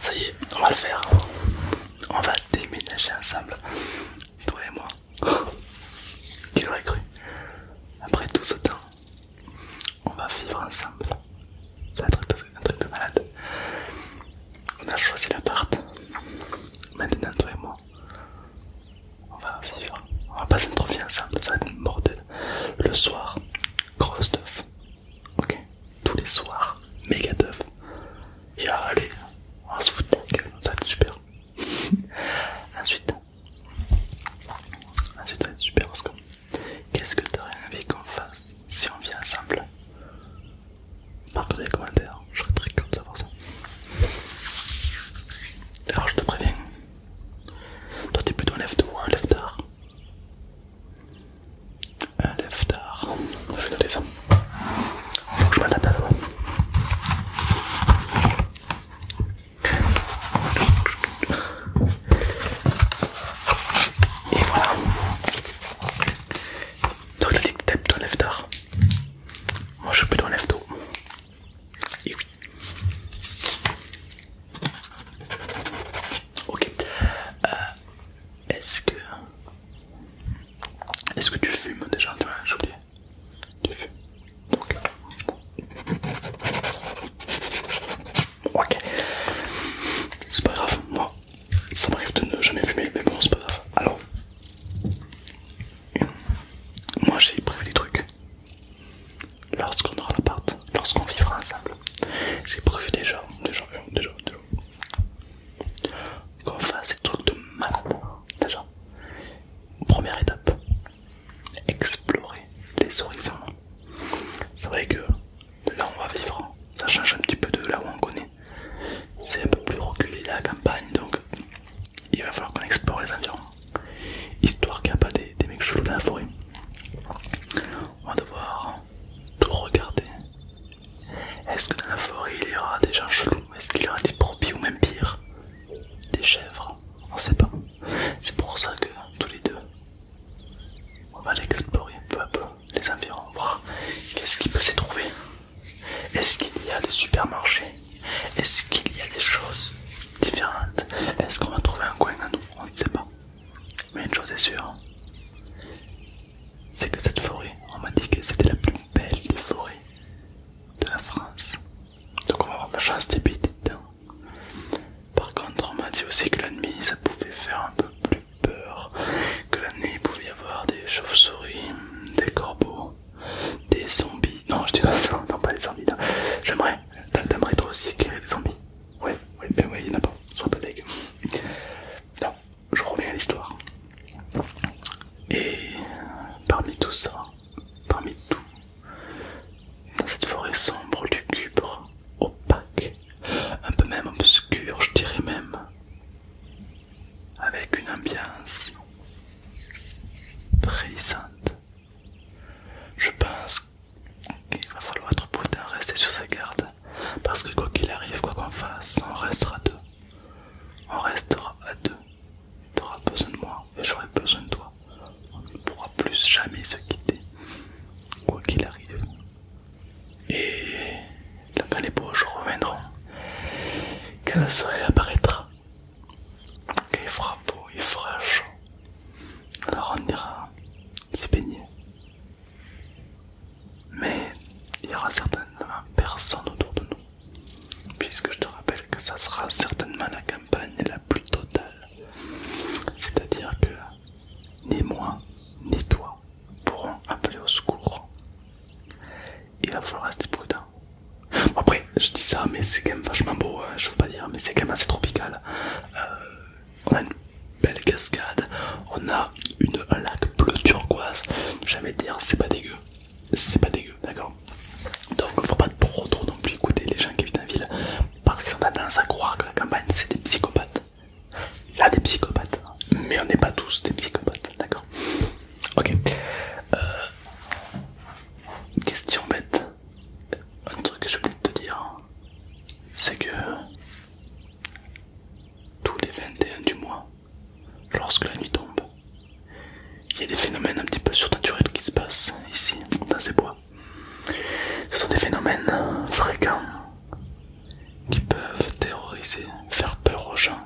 Ça y est, on va le faire. On va déménager ensemble. Toi et moi. Qui l'aurait cru Après tout ce temps, on va vivre ensemble. C'est un truc, de, truc de malade. On a choisi l'appart. Maintenant, toi et moi, on va vivre. On va passer notre vie ensemble. Ça va être mortel. bordel. Le soir, grosse stuff. Ok Tous les soirs, méga d'œufs, Et allez, on va se foutre de la ça va être super. ensuite, ensuite, ça va être super parce que qu'est-ce que t'aurais envie qu'on fasse si on vient ensemble Marque dans les commentaires, je serais très curieux de savoir ça. Alors je te préviens, toi t'es plutôt un lève-tôt ou un lève-tard un lève Je vais noter ça. Faut que je m'adapte à toi. Et voilà. Donc t'as dit que t'es ton un Moi je suis plutôt un lève Et oui. Ok. Euh, est-ce que... Est-ce que tu fumes déjà j'ai oublié. Tu fumes. Ok. C'est pas grave, moi, ça m'arrive de ne jamais fumer, mais bon, c'est pas grave. Alors, moi j'ai prévu des trucs lorsqu'on aura l'appart, lorsqu'on vivra ensemble. J'ai prévu déjà, déjà, déjà, qu'on fasse ces trucs de malade. Déjà, première étape, explorer les horizons. C'est vrai que là on va vivre, ça change un petit peu de là où on connaît. C'est un peu plus reculé la campagne, donc il va falloir qu'on explore les environs. Histoire qu'il n'y a pas des, des mecs chelous dans la forêt on va devoir tout regarder. Est-ce que dans la forêt il y aura des gens chelous Est-ce qu'il y aura des propi ou même pire Des chèvres On sait pas. C'est pour ça que tous les deux, on va explorer peu à peu, les environs, voir qu'est-ce qui peut s'y trouver. Est-ce qu'il y a des supermarchés Est-ce qu'il y a des choses différentes Est-ce qu'on va trouver un coin à nous On ne sait pas. Mais une chose est sûre, c'est que cette forêt, on m'a dit que c'était la plus belle des forêts de la France. Donc on va avoir la chance des petites, dedans. Hein. Par contre, on m'a dit aussi que la nuit, ça pouvait faire un peu plus peur. Que la nuit, il pouvait y avoir des chauves-souris, des corbeaux, des zombies. Non, je dis pas ça, non, pas des zombies. J'aimerais, t'aimerais toi aussi qu'il y ait des zombies. Ouais, ouais, ben il n'y en a pas. Sois pas deg. Non, je reviens à l'histoire. Et parmi tout ça, parmi tout, dans cette forêt sombre, cubre, opaque, un peu même obscure, je dirais même, avec une ambiance pressante, je pense il va falloir être prudent, rester sur sa garde Parce que quoi qu'il arrive, quoi qu'on fasse, on restera deux. On restera à deux. Tu auras besoin de moi et j'aurai besoin de toi. On ne pourra plus jamais se quitter. Quoi qu'il arrive. Et quand les beaux jours reviendront, quand le soleil apparaîtra, quand il fera beau, il fera chaud, alors on ira se baigner. Mais il y aura certainement personne autour de nous. Puisque je te rappelle que ça sera certainement la campagne la plus totale. C'est-à-dire que ni moi, ni toi pourront appeler au secours. Il va falloir rester prudent. après, je dis ça, mais c'est quand même vachement beau, Je hein. je veux pas dire, mais c'est quand même assez tropical. Euh, on a une belle cascade, on a une, un lac bleu turquoise, jamais dire c'est pas dégueu, c'est pas dégueu, d'accord Donc faut pas trop trop non plus écouter les gens qui vivent en ville, parce qu'ils ont tendance à croire que la campagne c'est des psychopathes. il y a des psychopathes, mais on n'est pas tous des psychopathes, d'accord Ok. Euh, question bête un truc que j'ai oublié de te dire, c'est que tous les 21 du mois, lorsque la nuit tombe, il y a des phénomènes un petit peu surnaturels qui se passent ici, dans ces bois. Ce sont des phénomènes fréquents qui peuvent terroriser, faire peur aux gens.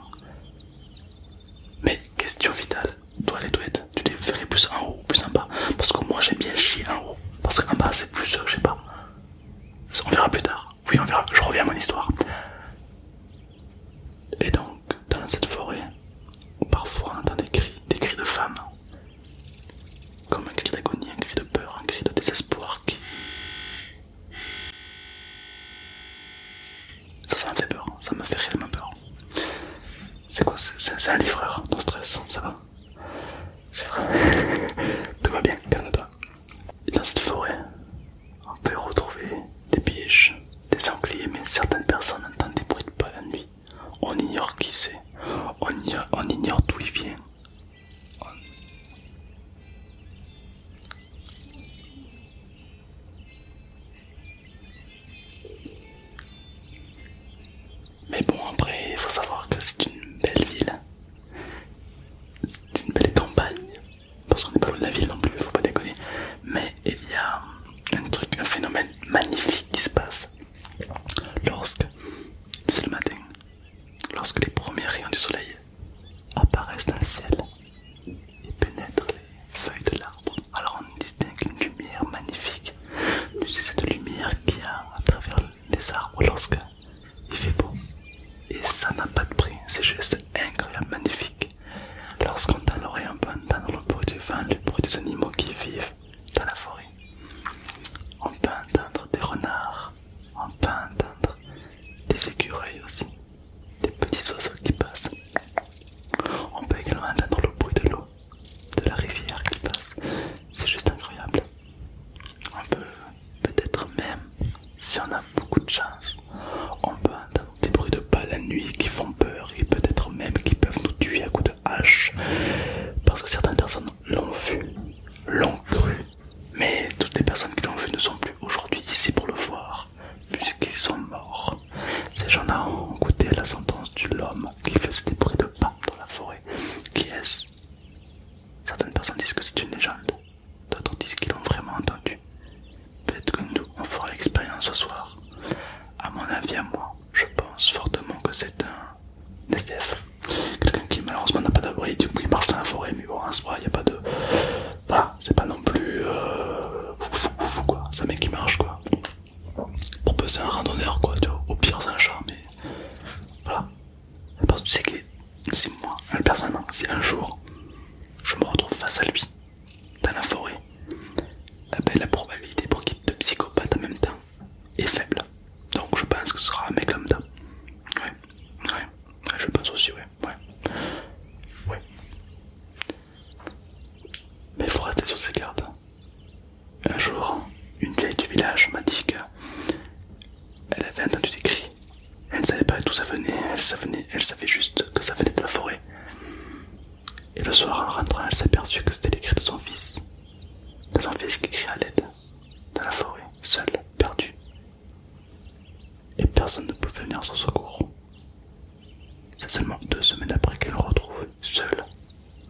Mais question vitale, toi les douettes, tu les verrais plus en haut ou plus en bas Parce que moi j'aime bien chier en haut. Parce qu'en bas c'est plus, euh, je sais pas. On verra plus tard. Oui, on verra. Je reviens à mon histoire. Et donc, dans cette forêt, parfois on entend des cris, des cris de femmes, comme un cri d'agonie, un cri de peur, un cri de désespoir Ça, ça me fait peur, ça me fait réellement peur. C'est quoi C'est un livreur de stress, ça va tout va bien, calme-toi. Dans cette forêt, on peut retrouver des pièges, des sangliers, mais certaines personnes entendent des bruits de pas la nuit. On ignore qui c'est, on ignore, ignore d'où il vient. Mais bon, après, il faut savoir que c'est une belle ville. C'est une belle campagne. Parce qu'on n'est pas loin de la ville non plus, faut pas déconner. Mais il y a un truc, un phénomène magnifique qui se passe. Lorsque, c'est le matin, lorsque les premiers rayons du soleil apparaissent dans le ciel et pénètrent les feuilles de l'arbre, alors on distingue une lumière magnifique. C'est cette lumière qui a à travers les arbres lorsque il fait beau. Et ça n'a pas de prix, c'est juste incroyable, magnifique. Lorsqu'on tend l'oreille, on peut entendre le bruit du vent, le bruit des animaux qui vivent dans la forêt. On peut entendre des renards, on peut entendre des écureuils aussi, des petits oiseaux qui passent. On peut également entendre le bruit de l'eau de la rivière qui passe. C'est juste incroyable. On peut peut-être même, si on a beaucoup de chance, on peut entendre des bruits de pas la nuit qui font peur et peut-être même qui peuvent nous tuer à coups de hache. Parce que certaines personnes l'ont vu, l'ont cru. Mais toutes les personnes qui l'ont vu ne sont plus aujourd'hui ici pour le voir, puisqu'ils sont morts. Ces gens-là ont goûté la sentence du l'homme qui faisait des bruits de pas dans la forêt. Qui est-ce Certaines personnes disent que c'est une légende, d'autres disent qu'ils l'ont vraiment entendu. Peut-être que nous, on fera l'expérience ce soir. À mon avis, à moi, je pense fortement que c'est un SDF. Quelqu'un qui malheureusement n'a pas d'abri, du coup il marche dans la forêt, mais bon, en ce il n'y a pas de. Voilà, c'est pas non plus. Euh... fou, quoi. Ça, un mec qui marche, quoi pour peser un randonneur, quoi, Au pire, c'est un mais voilà. Parce que que si moi, personnellement, si un jour je me retrouve face à lui dans la forêt, la probabilité pour qu'il te psychopathe en même temps est faible. Donc, je pense que ce sera un mec comme ça. Ouais, ouais, je pense aussi, ouais, ouais. ouais. Mais il faut rester sur ses gardes. Un jour, une vieille du village m'a dit qu'elle elle avait entendu des cris. Elle ne savait pas d'où ça venait, elle savait, juste que ça venait de la forêt. Et le soir, en rentrant, elle s'est s'aperçut que c'était les cris de son fils. De son fils qui criait à l'aide, dans la forêt, seul, perdu. Et personne ne pouvait venir à son secours. C'est seulement deux semaines après qu'elle retrouve seul,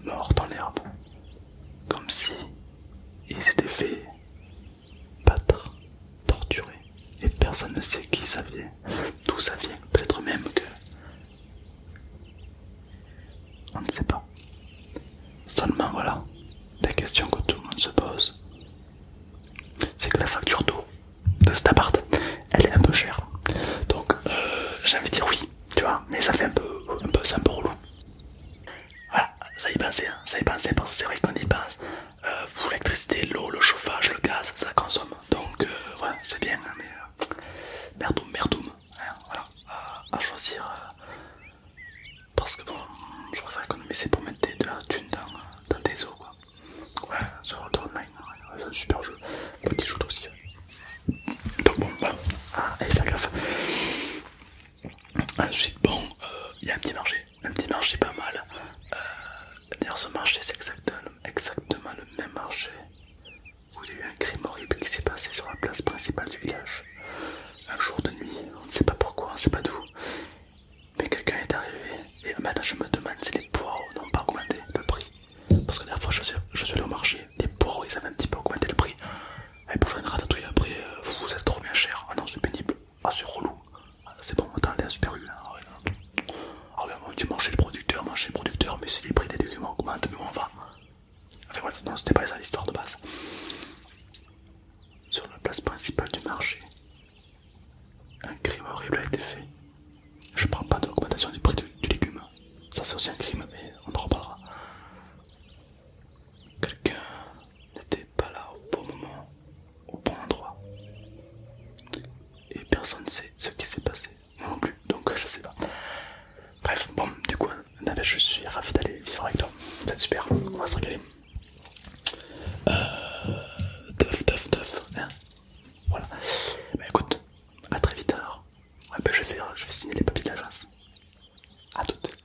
mort dans l'herbe, comme si il s'était fait battre, torturer, et personne ne sait qui ça vient, d'où ça vient, peut-être même que on ne sait pas. Seulement voilà, la question que tout le monde se pose, c'est que la facture d'eau de cet appart, elle est un peu chère. Donc euh, j'ai dire oui, tu vois, mais ça fait un peu, un peu, relou. Voilà, ça y pensait, hein, ça y pensait, hein, parce que c'est vrai qu'on y pense, euh, l'électricité, l'eau, le chauffage, le gaz, ça consomme, donc euh, voilà, c'est bien, hein, mais merdoum, merdoum, voilà, à choisir, euh, parce que bon, je préfère économiser pour mettre de la thune dans, des eaux, quoi. Ouais, ça World of c'est un super jeu, petit shoot aussi. Donc bon, bah. ah, allez gaffe. Ensuite, bon, euh, il y a un petit marché, un petit marché pas mal. Euh, d'ailleurs, ce marché, c'est exactement, exactement le même marché où il y a eu un crime horrible qui s'est passé sur la place principale du village. Un jour de nuit, on ne sait pas pourquoi, on ne sait pas d'où. Mais quelqu'un est arrivé et maintenant je me demande si les poires n'ont pas augmenté le prix. Parce que la dernière fois je suis allé au marché, les, porcs, ils avaient un petit peu augmenté le prix. Et pour faire une ratatouille après, euh, vous êtes trop bien cher. Ah non, c'est pénible. Ah, c'est relou. Ah, c'est bon, est un Super U. Ah, oui ah ouais, on dit manger le producteur, manger le producteur, mais si les prix des légumes augmentent, mais on va Enfin non, c'était pas ça l'histoire de base. Sur la place principale du marché, un crime horrible a été fait. Je prends pas d'augmentation du prix du légume, ça c'est aussi un crime, mais on en reparlera. Quelqu'un n'était pas là au bon moment, au bon endroit. Et personne ne sait ce qui s'est passé. non plus, donc je sais pas. Bref, bon, du coup, je suis ravi d'aller vivre avec toi. C'est super, on va se régaler. Euh. Teuf, teuf, hein. voilà. Bah écoute, à très vite alors. Bah, je vais, je vais signer les papiers de l'agence. A toutes.